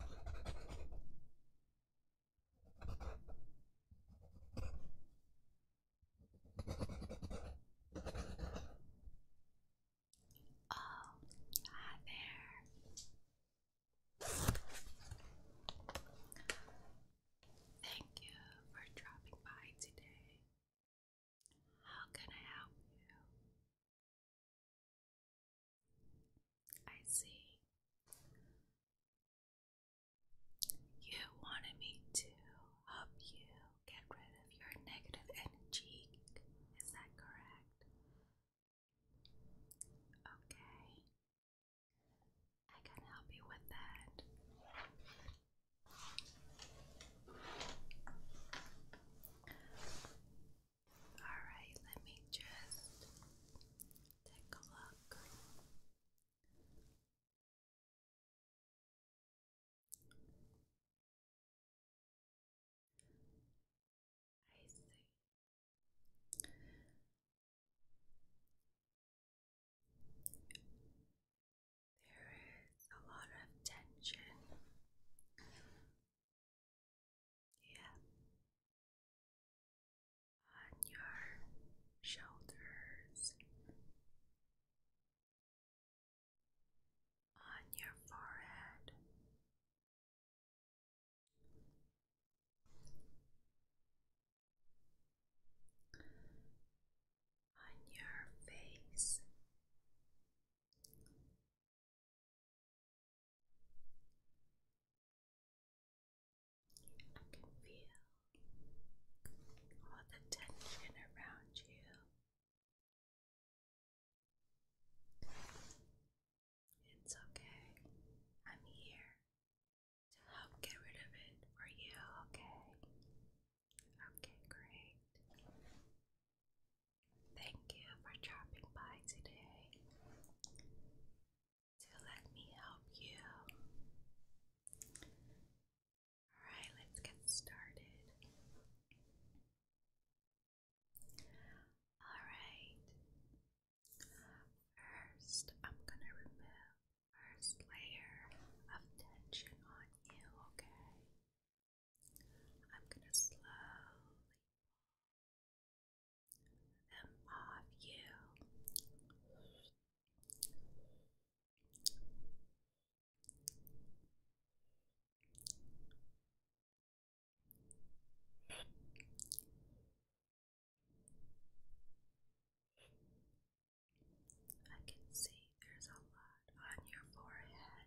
Oh, hi there. Thank you for dropping by today. How can I help you? I see. You wanted me to help you get rid of your negative energy. Is that correct? Okay. I can help you with that. Alright, let me just take a look. I see. There is a lot of tension yeah, on your shoulders, on your forehead. On your face, I can feel all the tension around you. It's okay. I'm here to help get rid of it for you, okay? Okay, great. Thank you for dropping by today to let me help you. Alright, let's get started. Alright, first I'm gonna remove first layer of tension on you, okay? I'm going to slowly pull them off you. I can see there's a lot on your forehead.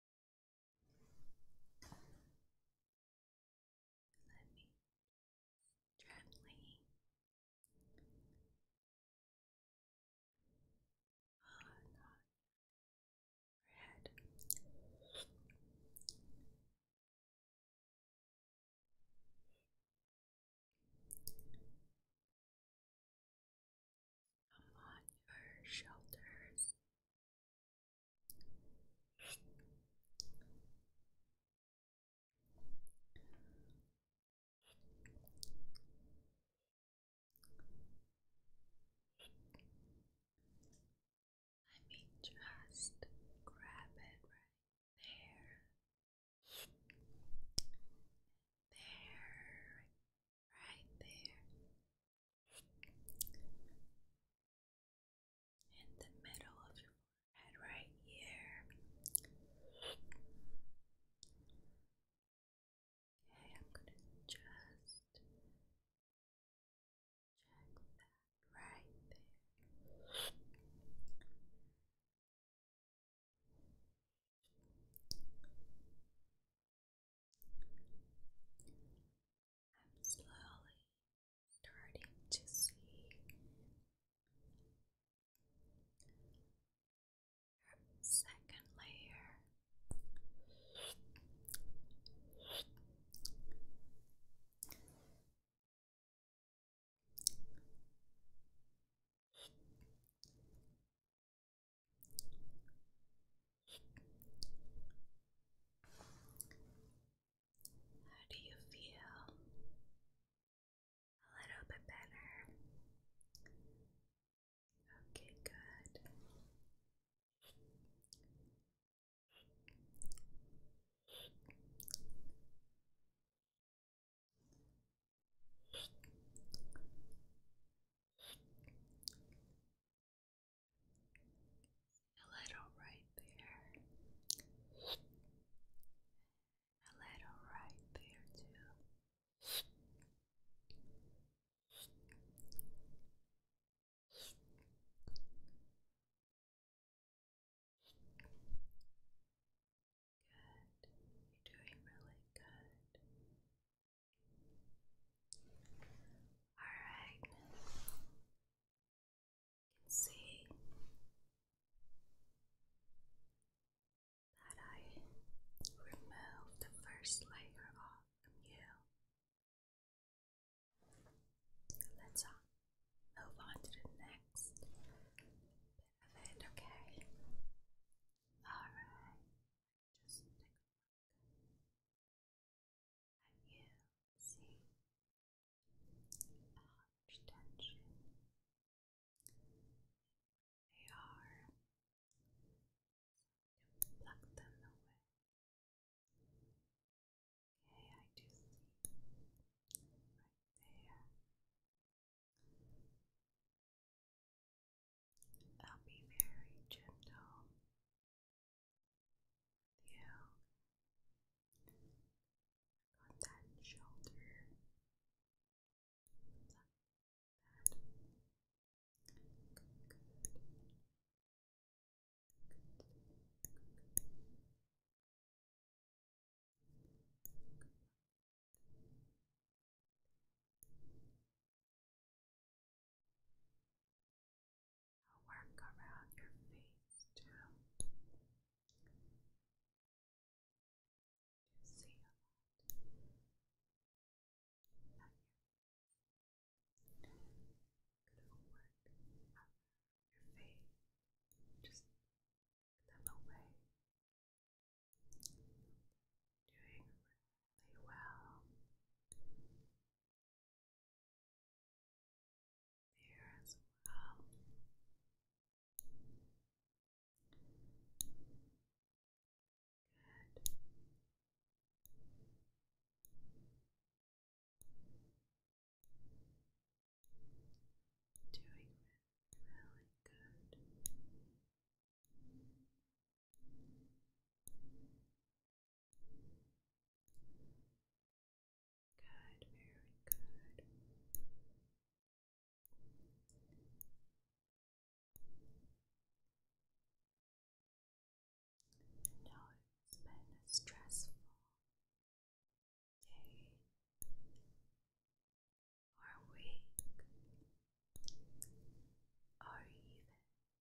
Let me gently on her head. Come on your shoulders. I mean, just grab it right there, there, right there in the middle of your forehead, right here. Okay, I'm gonna just check that right there. I'm slowly starting to see your second layer. How do you feel? A little bit better. Okay, good. A little right there. A little right there too. Good. You're doing really good. Alright. You can see that I removed the first layer off you. Let's on. Uh, move on to the next bit of it, okay? Alright. Just and you see how much tension they are, so you pluck them away. Okay, I do see right there. I'll be very gentle you got that shoulder I'll work around your face too. You see a lot on your work around your face. Just them away. Doing really well there as well. Good. Doing really good. Good, very good. I it's been a stressful day or week or even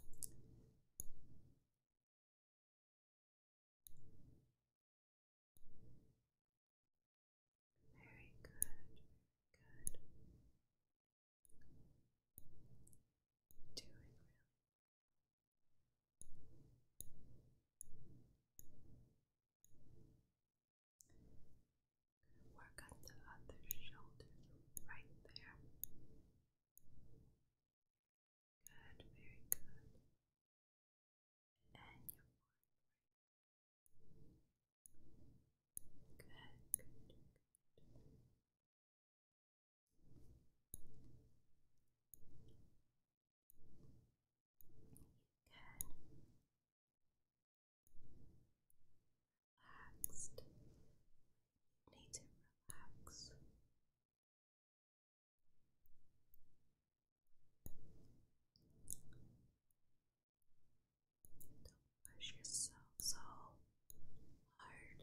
Very good, good. Do it Work on the other shoulder right there. Good, very good. And your Good, good, good. Good. Relaxed need to relax. Don't push yourself so hard,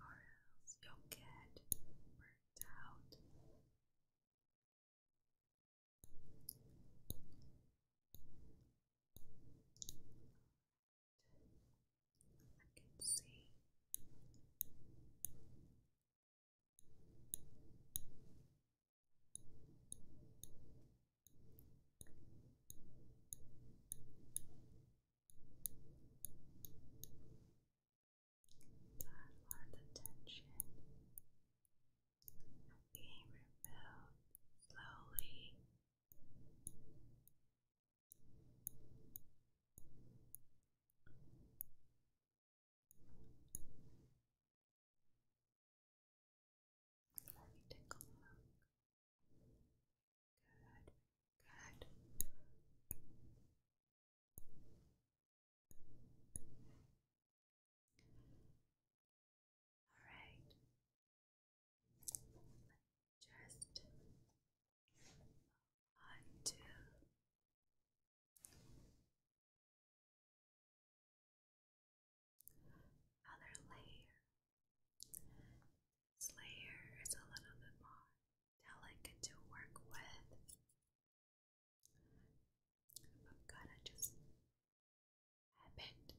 or else you'll get burnt out. I can see that lot of tension being removed slowly let me take a look. Good, good. Alright. Just undo. Other layer. This layer is a little bit more delicate to work with. I'm gonna just I bent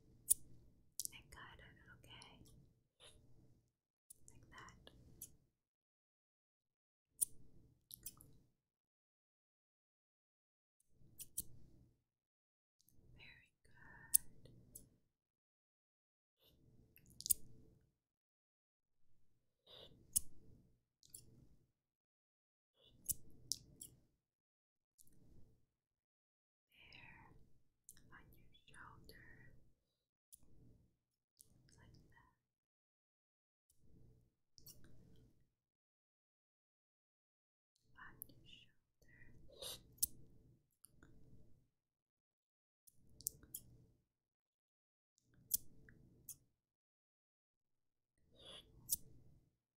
and cut it, okay? Like that. Very good. Here on your shoulder, like that. On your shoulder.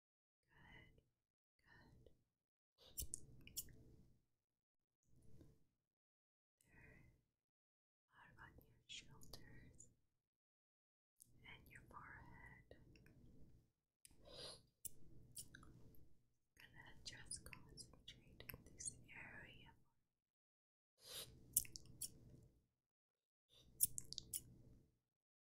There on your shoulders and your forehead. Gonna just concentrate in this area. Going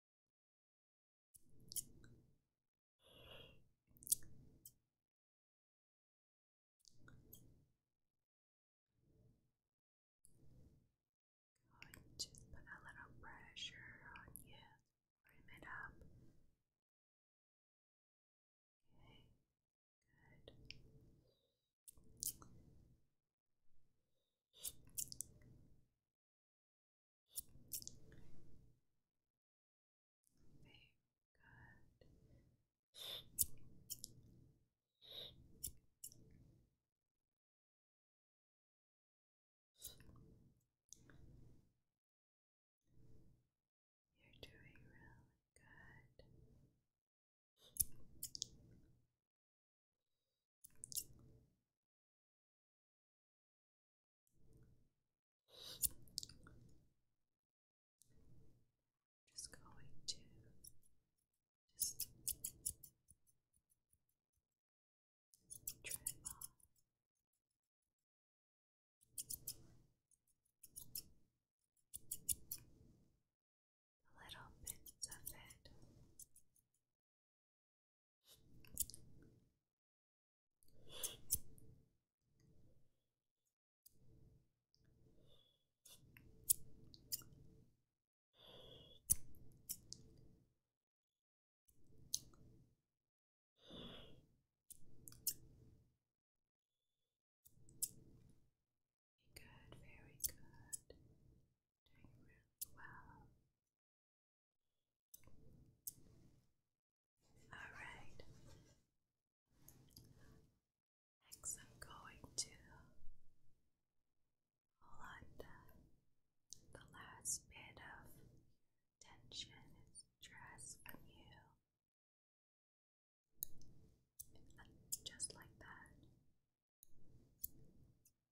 put a little pressure on you, bring it up. Okay, good. You're doing really good. Just going to just try it on. The little bits of it very good, very good. Doing really well. All right. Next, I'm going to hold on the, last bit of tension and stress from you. Just like that.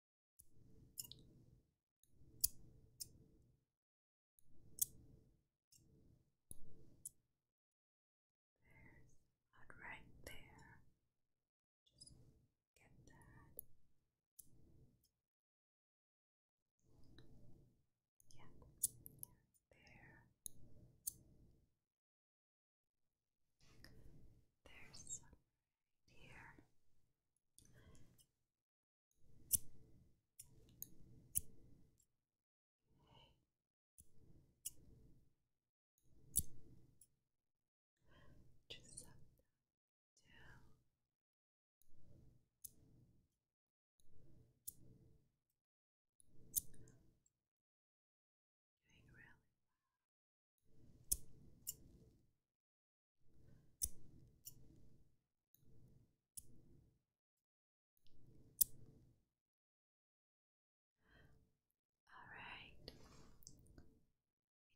There's blood right there. Just get that. Yeah, there. There's some right here. Just set that down. Doing really well. All right,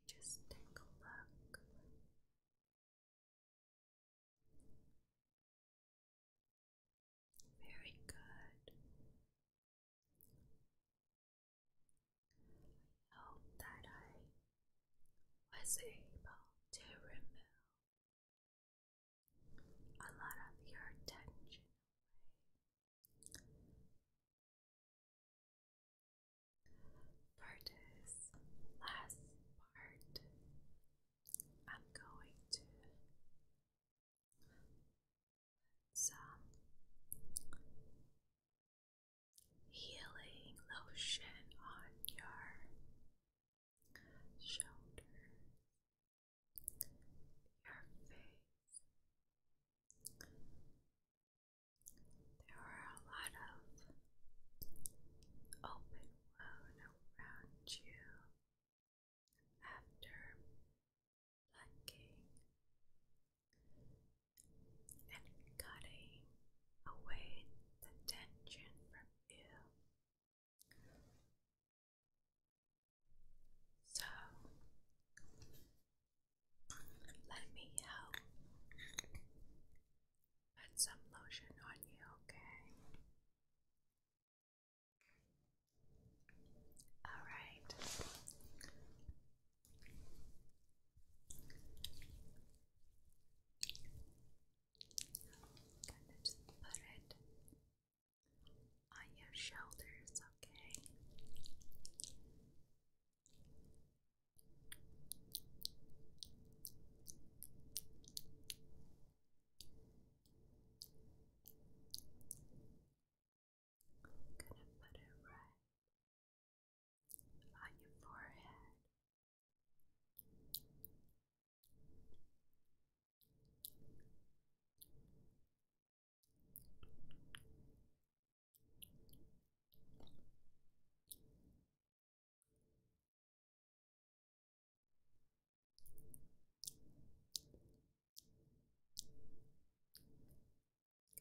just take a look. Very good. I hope that I was able to remove a lot of your tension away. For this last part, I'm going to put some healing lotion on your shoulders, your face. There are a lot of open wound around you after plucking and cutting away the tension from you. So let me help put some lotion on you, okay? Alright, Gonna put it on your shoulders, okay? I'm gonna put it right on your forehead.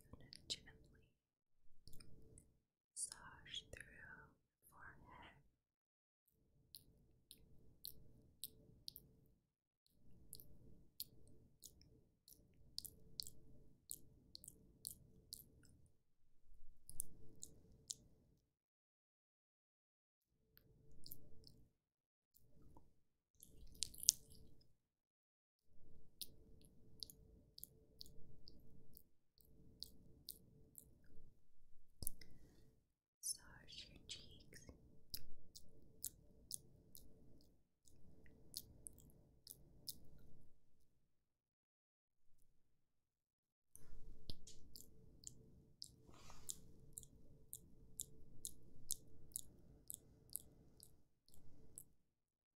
Gonna gently massage through forehead. Search your cheeks.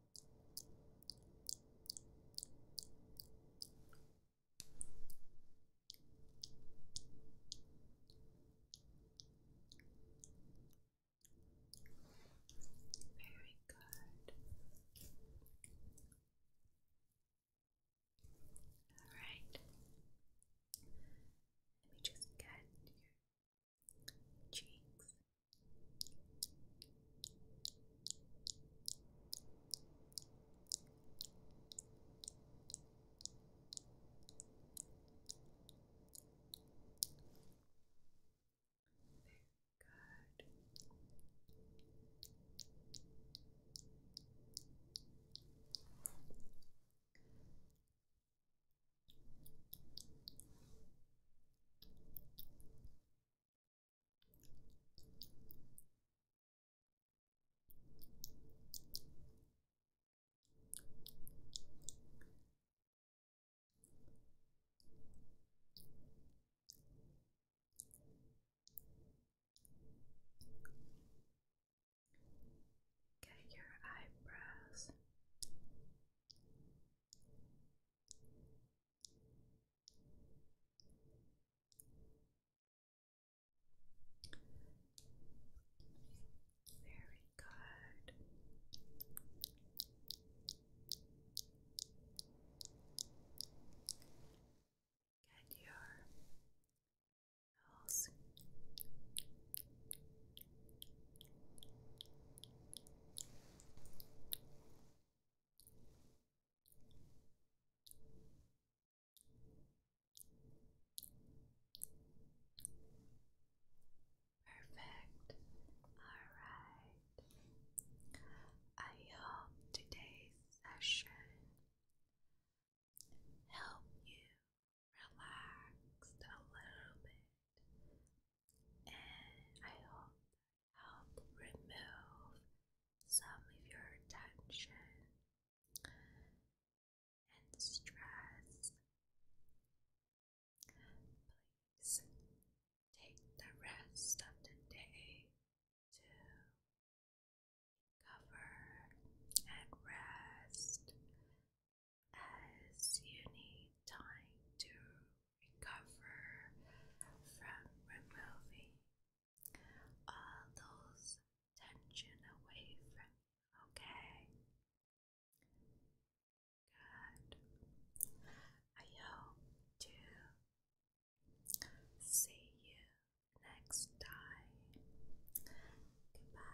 Very good. All right. Let me just get your cheeks. Good. Get your eyebrows very good. Get your nose Perfect. All right. I hope today's session helped you relax a little bit and I hope help remove some of your tension and stress. Please take the rest of the day to recover and rest as you need time to recover from removing all those tension away from you, okay? Good. I hope to see you next time. Goodbye.